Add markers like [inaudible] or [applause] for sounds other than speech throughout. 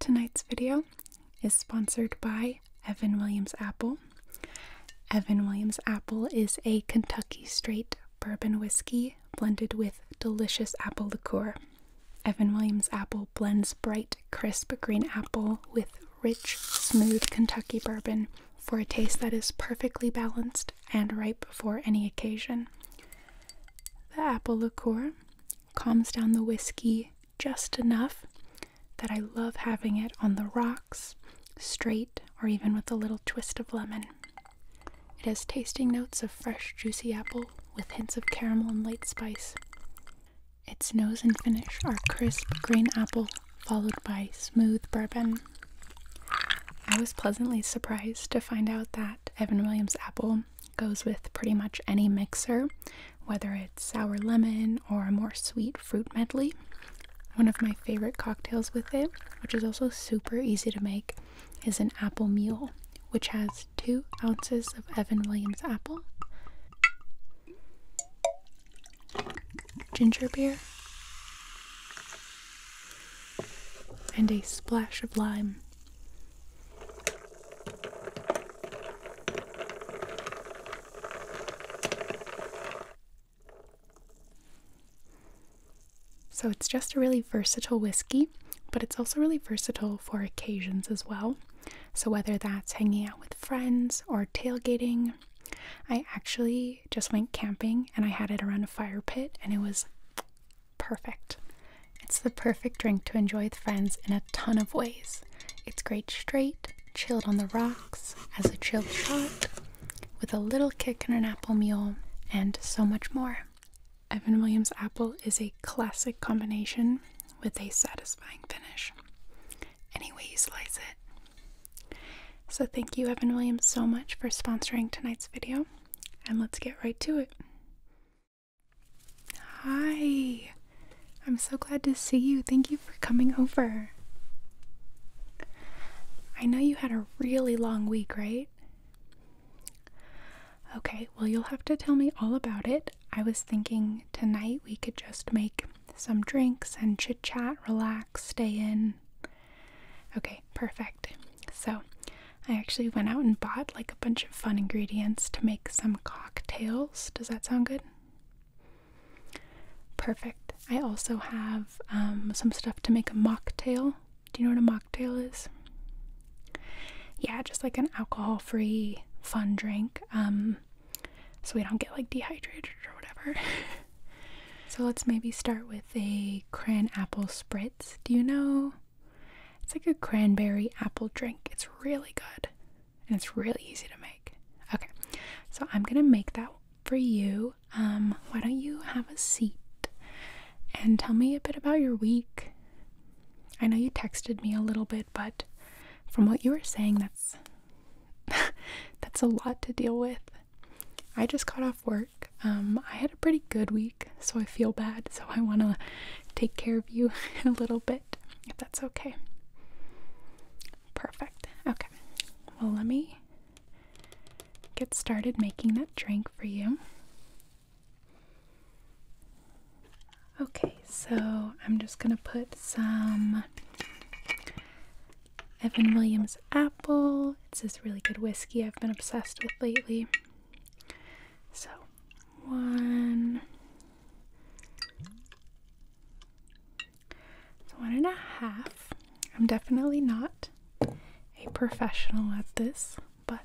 Tonight's video is sponsored by Evan Williams Apple. Evan Williams Apple is a Kentucky straight bourbon whiskey blended with delicious apple liqueur. Evan Williams Apple blends bright, crisp green apple with rich, smooth Kentucky bourbon for a taste that is perfectly balanced and ripe for any occasion. The apple liqueur calms down the whiskey just enough that I love having it on the rocks, straight, or even with a little twist of lemon. It has tasting notes of fresh, juicy apple with hints of caramel and light spice. Its nose and finish are crisp green apple, followed by smooth bourbon. I was pleasantly surprised to find out that Evan Williams apple Goes with pretty much any mixer, whether it's sour lemon or a more sweet fruit medley. One of my favorite cocktails with it, which is also super easy to make, is an apple mule, which has two ounces of Evan Williams apple, ginger beer, and a splash of lime. So it's just a really versatile whiskey, but it's also really versatile for occasions as well. So whether that's hanging out with friends or tailgating, I actually just went camping and I had it around a fire pit and it was perfect. It's the perfect drink to enjoy with friends in a ton of ways. It's great straight, chilled on the rocks, as a chilled shot, with a little kick in an apple mule, and so much more. Evan Williams Apple is a classic combination with a satisfying finish. Any way you slice it. So, thank you, Evan Williams, so much for sponsoring tonight's video, and let's get right to it. Hi. I'm so glad to see you. Thank you for coming over. I know you had a really long week, right? Okay, well, you'll have to tell me all about it. I was thinking tonight we could just make some drinks and chit chat, relax, stay in. Okay, perfect. So, I actually went out and bought like a bunch of fun ingredients to make some cocktails. Does that sound good? Perfect. I also have um, some stuff to make a mocktail. Do you know what a mocktail is? Yeah, just like an alcohol free fun drink um, so we don't get like dehydrated or whatever. [laughs] so let's maybe start with a cran apple spritz. Do you know it's like a cranberry apple drink. It's really good and it's really easy to make. Okay, so I'm gonna make that for you. Um, why don't you have a seat and tell me a bit about your week? I know you texted me a little bit, but from what you were saying, that's [laughs] that's a lot to deal with. I just got off work. Um, I had a pretty good week, so I feel bad. So I want to take care of you [laughs] a little bit if that's okay. Perfect. Okay. Well, let me get started making that drink for you. Okay, so I'm just going to put some Evan Williams Apple. It's this really good whiskey I've been obsessed with lately. So, one, it's one and a half. I'm definitely not a professional at this, but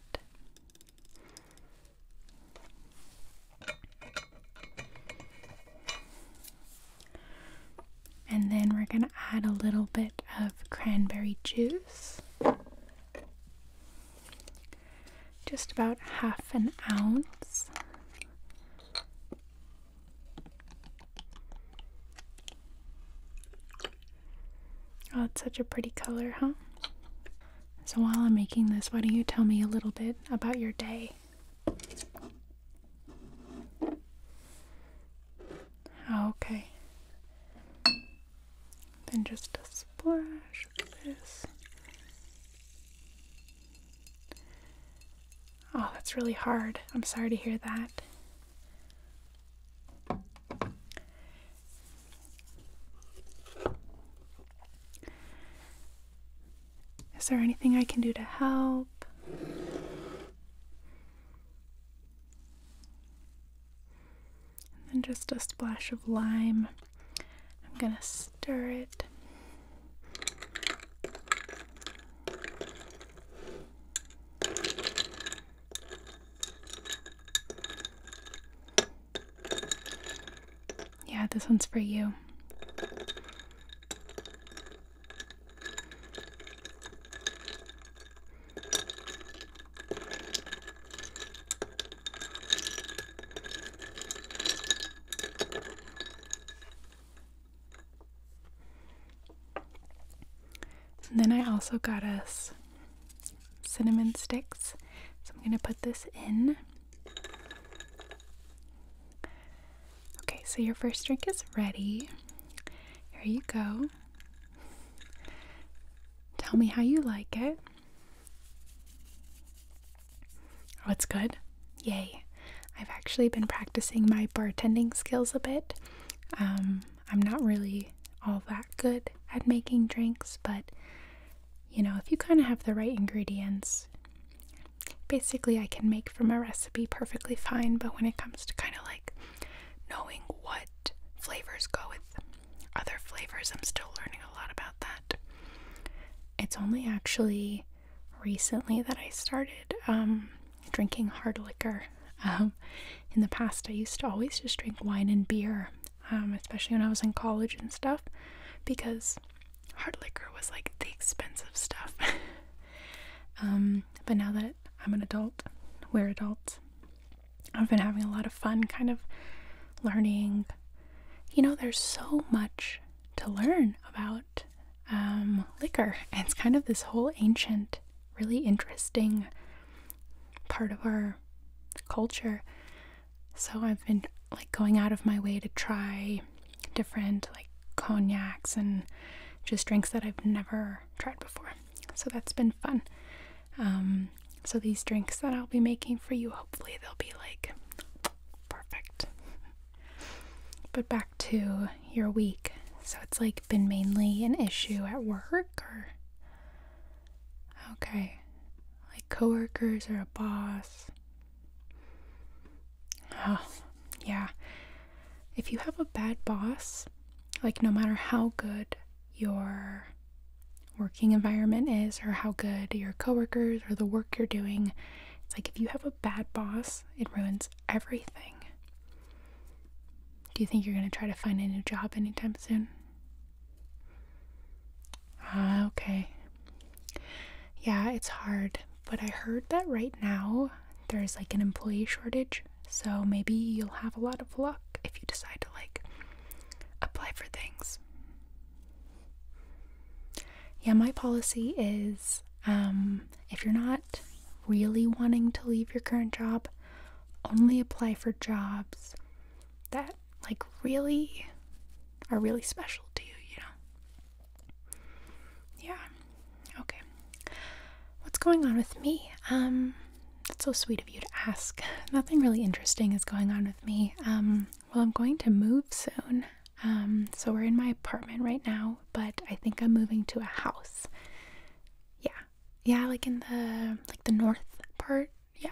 and then we're going to add a little bit of cranberry juice just about half an ounce. Oh, it's such a pretty color, huh? So, while I'm making this, why don't you tell me a little bit about your day? okay. Then just a splash of this Oh, that's really hard. I'm sorry to hear that. Is there anything I can do to help? And then just a splash of lime. I'm going to stir it. Yeah, this one's for you then I also got us cinnamon sticks. So I'm going to put this in. Okay, so your first drink is ready. Here you go. Tell me how you like it. What's oh, good? Yay. I've actually been practicing my bartending skills a bit. Um, I'm not really all that good at making drinks, but you know, if you kind of have the right ingredients, basically I can make from a recipe perfectly fine, but when it comes to kind of like knowing what flavors go with other flavors, I'm still learning a lot about that it's only actually recently that I started um, drinking hard liquor. Um, in the past, I used to always just drink wine and beer, um, especially when I was in college and stuff, because hard liquor was like the expensive stuff. [laughs] but now that I'm an adult, we're adults, I've been having a lot of fun kind of learning you know, there's so much to learn about um, liquor. [laughs] it's kind of this whole ancient, really interesting part of our culture. So I've been like going out of my way to try different like cognacs and just drinks that I've never tried before. So that's been fun. Um, so these drinks that I'll be making for you, hopefully they'll be like Perfect. but back to your week. So it's like been mainly an issue at work or Okay. Like coworkers or a boss. Oh, yeah. If you have a bad boss, like no matter how good your working environment is or how good your coworkers or the work you're doing. It's like if you have a bad boss, it ruins everything. Do you think you're going to try to find a new job anytime soon? Ah, okay. Yeah, it's hard, but I heard that right now there's like an employee shortage, so maybe you'll have a lot of luck if you decide to like apply for things yeah, my policy is um, if you're not really wanting to leave your current job, only apply for jobs that like really are really special to you, you know. Yeah. Okay. What's going on with me? Um that's so sweet of you to ask. [laughs] Nothing really interesting is going on with me. Um well, I'm going to move soon. Um, so we're in my apartment right now, but I think I'm moving to a house. Yeah. Yeah, like in the like the north part. Yeah.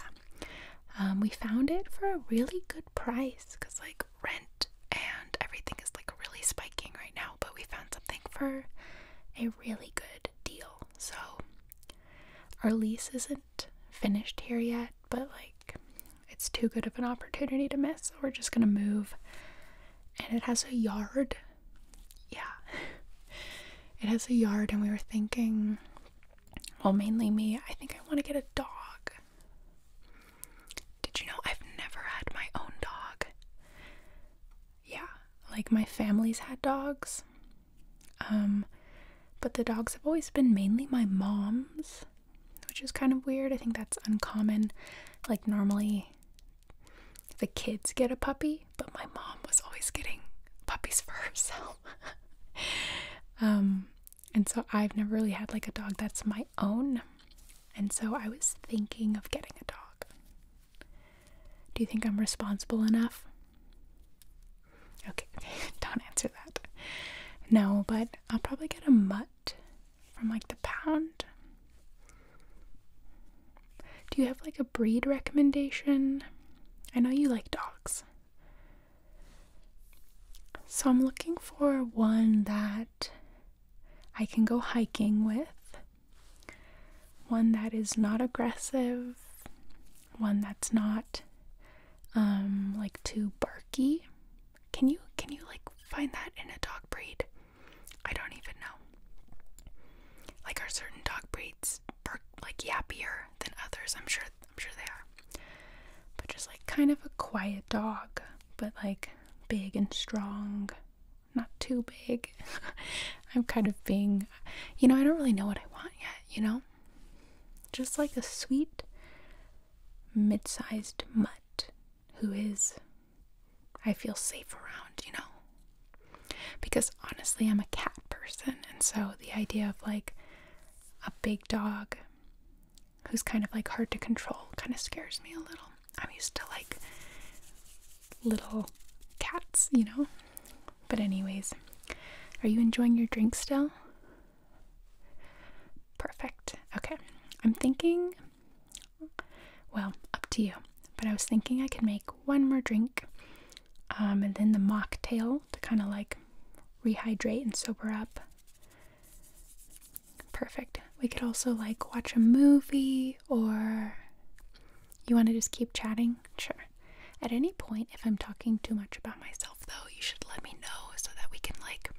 Um, we found it for a really good price cuz like rent and everything is like really spiking right now, but we found something for a really good deal. So our lease is not finished here yet, but like it's too good of an opportunity to miss. So we're just gonna move. And it has a yard. Yeah. It has a yard, and we were thinking, well, mainly me, I think I want to get a dog. Did you know I've never had my own dog? Yeah, like my family's had dogs. Um, but the dogs have always been mainly my mom's which is kind of weird. I think that's uncommon. Like, normally the kids get a puppy, but my mom was always getting puppies for [laughs] herself. um, and so I've never really had like a dog that's my own. And so I was thinking of getting a dog. Do you think I'm responsible enough? Okay, [laughs] don't answer that. No, but I'll probably get a mutt from like the pound. Do you have like a breed recommendation? I know you like dogs. So I'm looking for one that I can go hiking with, one that is not aggressive, one that's not um like too barky. Can you can you like find that in a dog breed? I don't even know. Like are certain dog breeds bark like yappier than others? I'm sure I'm sure they are. But just like kind of a quiet dog, but like big and strong. Not too big. [laughs] I'm kind of being you know, I don't really know what I want yet, you know? Just like a sweet mid sized mutt who is, I feel safe around, you know? Because honestly, I'm a cat person, and so the idea of like a big dog who's kind of like hard to control kind of scares me a little. I'm used to like little cats, you know? But, anyways, are you enjoying your drink still? Perfect. Okay. I'm thinking, well, up to you, but I was thinking I could make one more drink um, and then the mocktail to kind of like rehydrate and sober up. Perfect. We could also like watch a movie or you want to just keep chatting? Sure. At any point, if I'm talking too much about myself, though, you should let me know so that we can, like,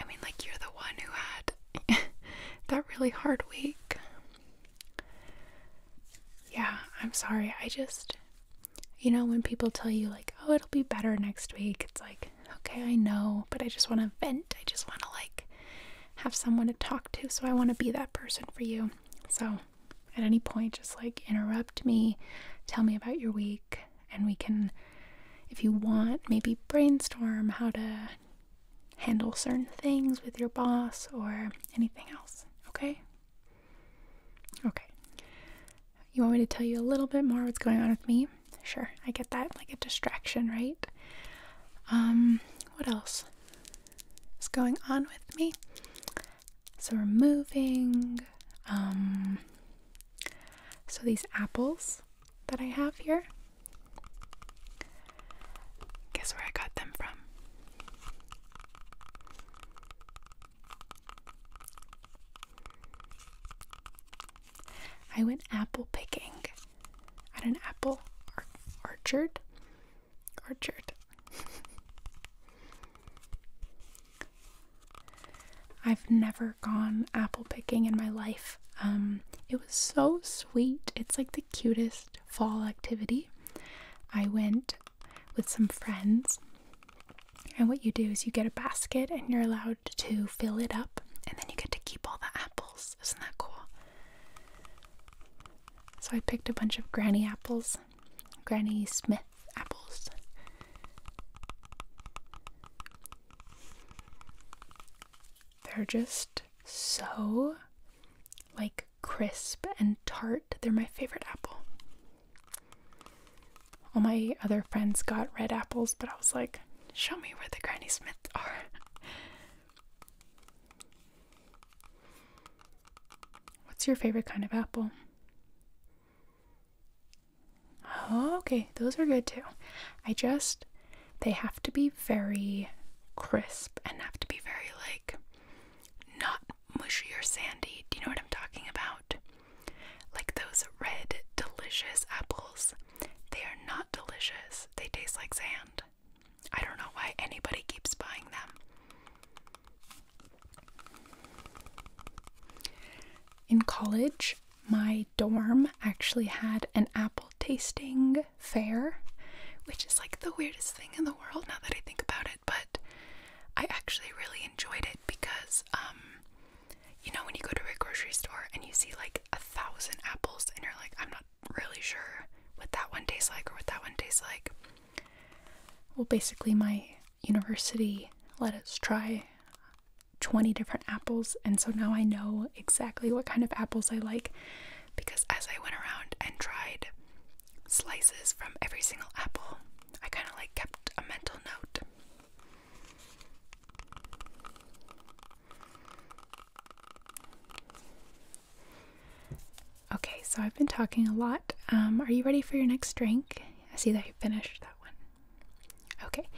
I mean, like, you're the one who had [laughs] that really hard week. Yeah, I'm sorry. I just, you know, when people tell you, like, oh, it'll be better next week, it's like, okay, I know, but I just want to vent. I just want to, like, have someone to talk to. So I want to be that person for you. So at any point, just like interrupt me, tell me about your week and we can, if you want, maybe brainstorm how to handle certain things with your boss or anything else. Okay? Okay. You want me to tell you a little bit more what's going on with me? Sure, I get that, like a distraction, right? Um, what else is going on with me? So we're moving. Um, so these apples that I have here, guess where I got them from? I went apple picking at an apple orchard. Orchard. [laughs] I've never gone apple picking in my life. Um, it was so sweet. It's like the cutest fall activity. I went with some friends, and what you do is you get a basket and you're allowed to fill it up, and then you get to keep all the apples. Isn't that cool? So I picked a bunch of granny apples, Granny Smith apples. They're just so like crisp and tart. They're my favorite apple. All my other friends got red apples, but I was like, show me where the Granny Smiths are. [laughs] What's your favorite kind of apple? Oh, okay, those are good too. I just, they have to be very crisp and have to be very like not mushy or sandy. Do you know what I'm talking about? Like those red, delicious apples. They are not delicious, they taste like sand. I don't know why anybody keeps buying them. In college, my dorm actually had an apple tasting fair, which is like the weirdest thing in the world now that I think about it, but I actually really enjoyed it because, um, you know, when you go to a grocery store and you see like a thousand apples and you're like, I'm not really sure what that one tastes like or what that one tastes like. Well, basically, my university let us try 20 different apples, and so now I know exactly what kind of apples I like because as I went around and tried slices from every single apple, I kind of like kept a mental note. Okay, so I've been talking a lot. Um, are you ready for your next drink? I see that you finished that one. Okay,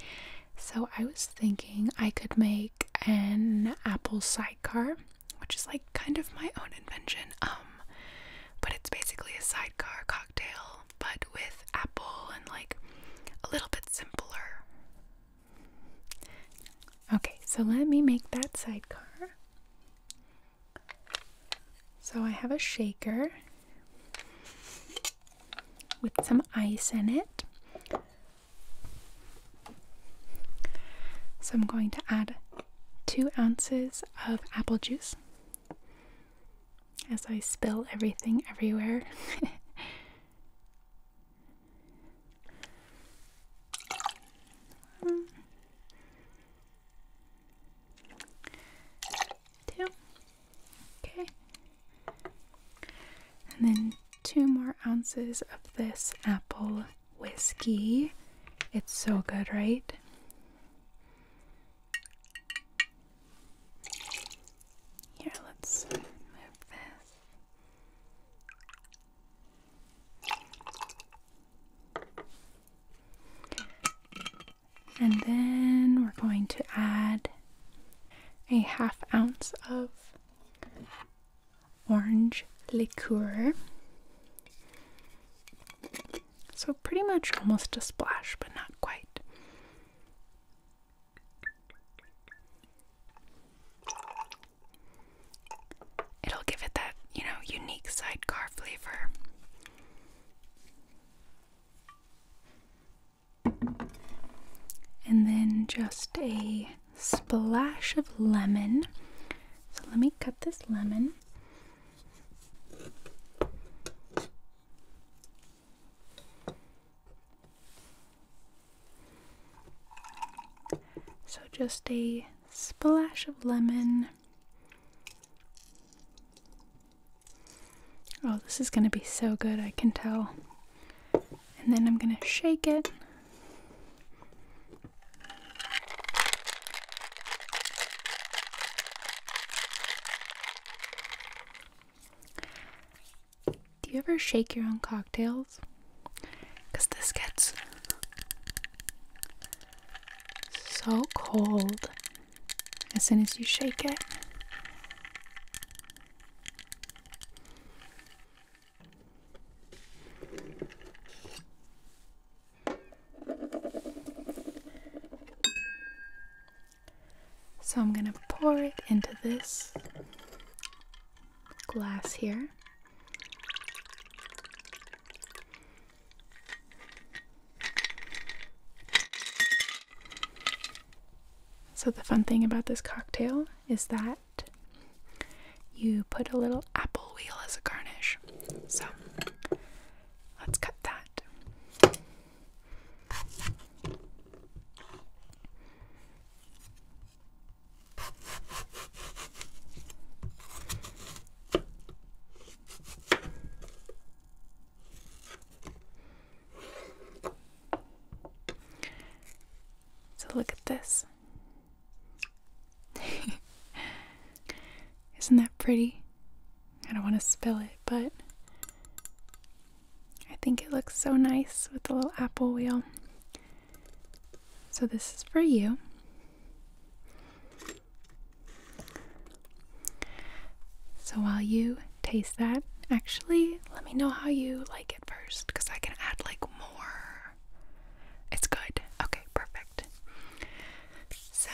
so I was thinking I could make an apple sidecar, which is like kind of my own invention. Um, but it's basically a sidecar cocktail, but with apple and like a little bit simpler. Okay, so let me make that sidecar. So I have a shaker with some ice in it. So I'm going to add two ounces of apple juice as I spill everything everywhere. [laughs] two, Okay. And then two more ounces of this apple whiskey. It's so good, right? Here, let's move this. And then we're going to add a half ounce of orange liqueur. So, pretty much almost a splash, but not quite. It'll give it that, you know, unique sidecar flavor. And then just a splash of lemon. So let me cut this lemon. So just a splash of lemon. Oh, this is going to be so good, I can tell. And then I'm going to shake it. Do you ever shake your own cocktails? Because this gets so cold as soon as you shake it. So I'm going to pour it into this glass here. So, the fun thing about this cocktail is that you put a little apple wheel as a garnish. So, let's cut that. So look at this. [laughs] Isn't that pretty? I don't want to spill it, but I think it looks so nice with the little apple wheel. So this is for you. So while you taste that, actually, let me know how you like it first because I can add like more. It's good. Okay, perfect. So,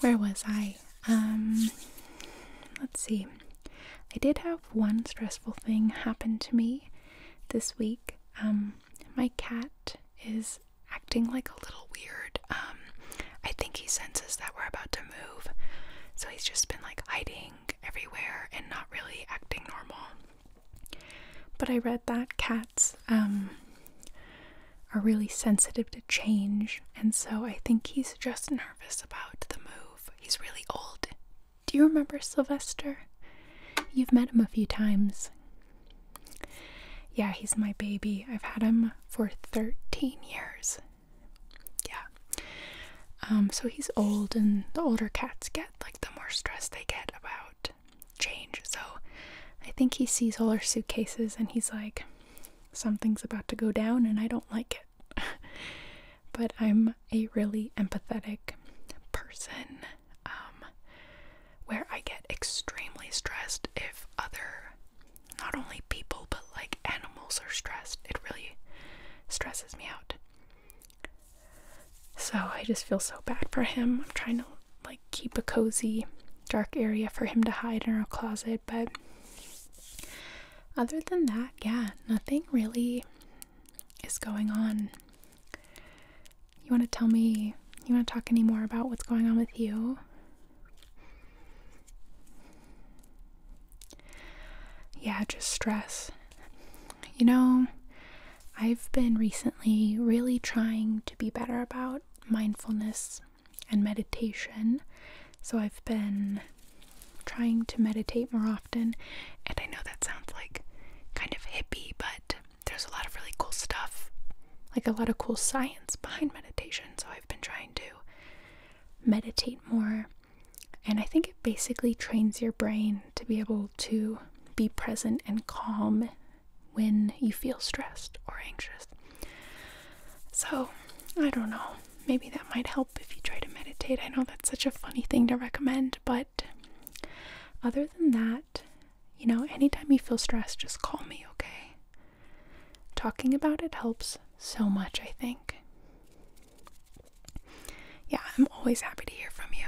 where was I? Um, let's see. I did have one stressful thing happen to me this week. Um, my cat is acting like a little weird. Um, I think he senses that we're about to move. So he's just been like hiding everywhere and not really acting normal. But I read that cats um, are really sensitive to change, and so I think he's just nervous about the move. He's really old. Do you remember Sylvester? You've met him a few times. Yeah, he's my baby. I've had him for 13 years yeah. Um, so he's old, and the older cats get, like the more stressed they get about change. So I think he sees all our suitcases, and he's like, something's about to go down, and I don't like it. [laughs] but I'm a really empathetic person. Um, where I get extremely stressed if other not only people but like animals are stressed. It really stresses me out. So I just feel so bad for him. I'm trying to like keep a cozy dark area for him to hide in our closet, but other than that, yeah, nothing really is going on. You want to tell me, you want to talk any more about what's going on with you? yeah, just stress. You know, I've been recently really trying to be better about mindfulness and meditation. So I've been trying to meditate more often. And I know that sounds like kind of hippie, but there's a lot of really cool stuff, like a lot of cool science behind meditation. So I've been trying to meditate more and I think it basically trains your brain to be able to be present and calm when you feel stressed or anxious. So, I don't know. Maybe that might help if you try to meditate. I know that's such a funny thing to recommend, but other than that, you know, anytime you feel stressed, just call me, okay? Talking about it helps so much, I think yeah, I'm always happy to hear from you.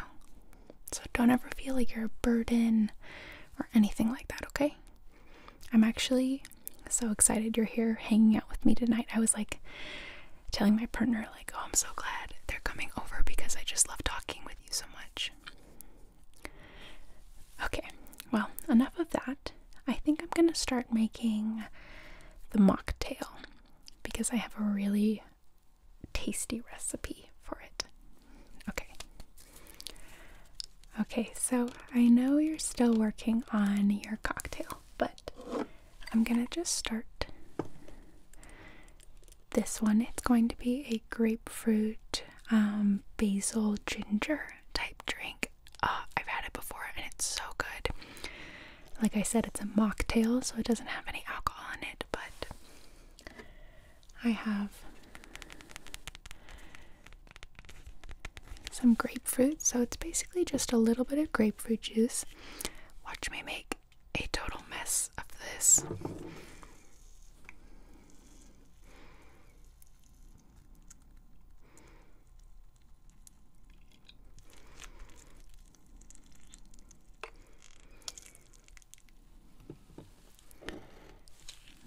So don't ever feel like you're a burden or anything like that, okay? I'm actually so excited you're here hanging out with me tonight. I was like telling my partner like, "Oh, I'm so glad they're coming over because I just love talking with you so much." Okay. Well, enough of that. I think I'm going to start making the mocktail because I have a really tasty recipe for it. Okay. Okay, so I know you're still working on your cocktail, but I'm going to just start this one. It's going to be a grapefruit um, basil ginger type drink. Uh, I've had it before and it's so good. Like I said, it's a mocktail, so it doesn't have any alcohol in it, but I have some grapefruit, so it's basically just a little bit of grapefruit juice. Watch me make a total mess of this.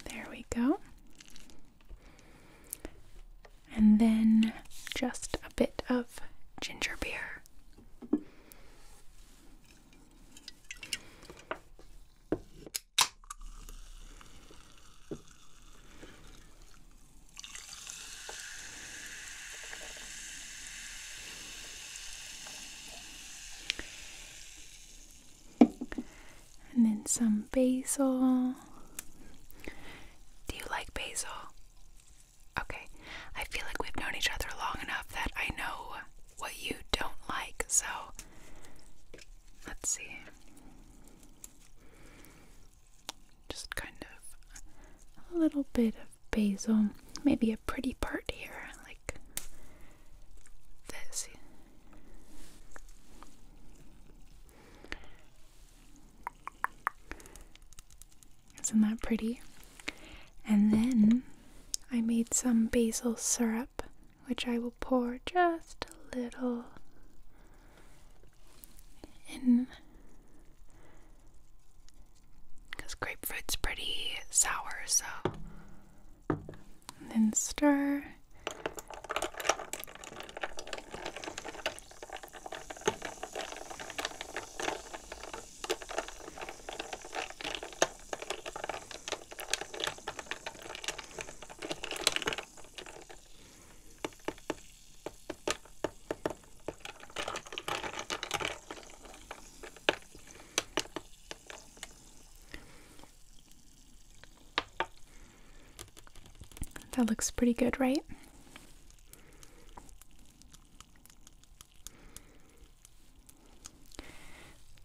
There we go. And then just a bit of ginger beer. And then some basil. Do you like basil? Okay. I feel like we've known each other long enough that I know what you don't like, so let's see just kind of a little bit of basil, maybe a pretty part here, like this. Isn't that pretty? And then I made some basil syrup, which I will pour just a little and because grapefruit's pretty sour, so then stir. That looks pretty good, right?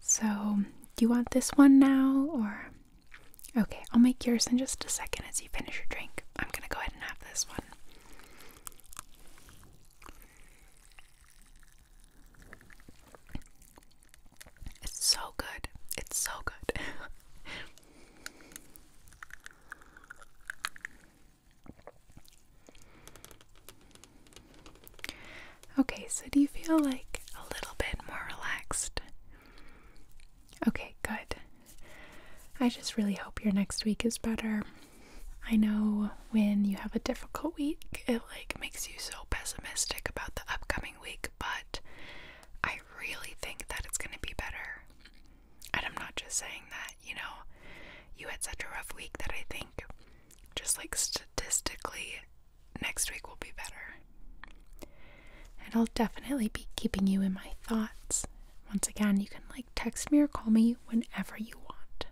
So, do you want this one now or Okay, I'll make yours in just a second as you finish your drink. I'm gonna go ahead and have this one. It's so good. It's so good. [laughs] okay, so do you feel like a little bit more relaxed? Okay, good. I just really hope your next week is better. I know when you have a difficult week, it like makes you so pessimistic about the upcoming week, but I really think that it's going to be better. And I'm not just saying that, you know, you had such a rough week that I think just like statistically next week will be better. And I'll definitely be keeping you in my thoughts once again, you can like text me or call me whenever you want.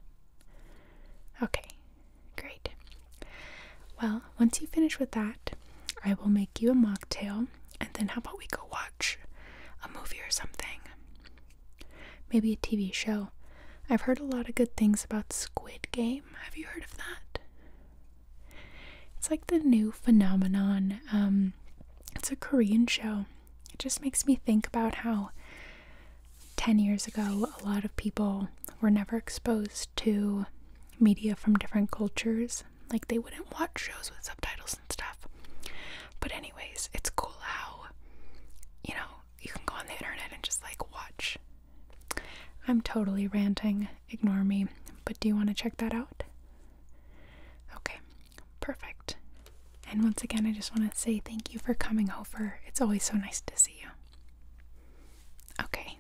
Okay, great. Well, once you finish with that, I will make you a mocktail and then how about we go watch a movie or something? Maybe a TV show. I've heard a lot of good things about Squid Game. Have you heard of that? It's like the new phenomenon. Um, it's a Korean show. It just makes me think about how 10 years ago, a lot of people were never exposed to media from different cultures. Like, they wouldn't watch shows with subtitles and stuff. But, anyways, it's cool how, you know, you can go on the internet and just like watch. I'm totally ranting. Ignore me. But do you want to check that out? Okay, perfect. And once again, I just want to say thank you for coming over. It's always so nice to see you. Okay.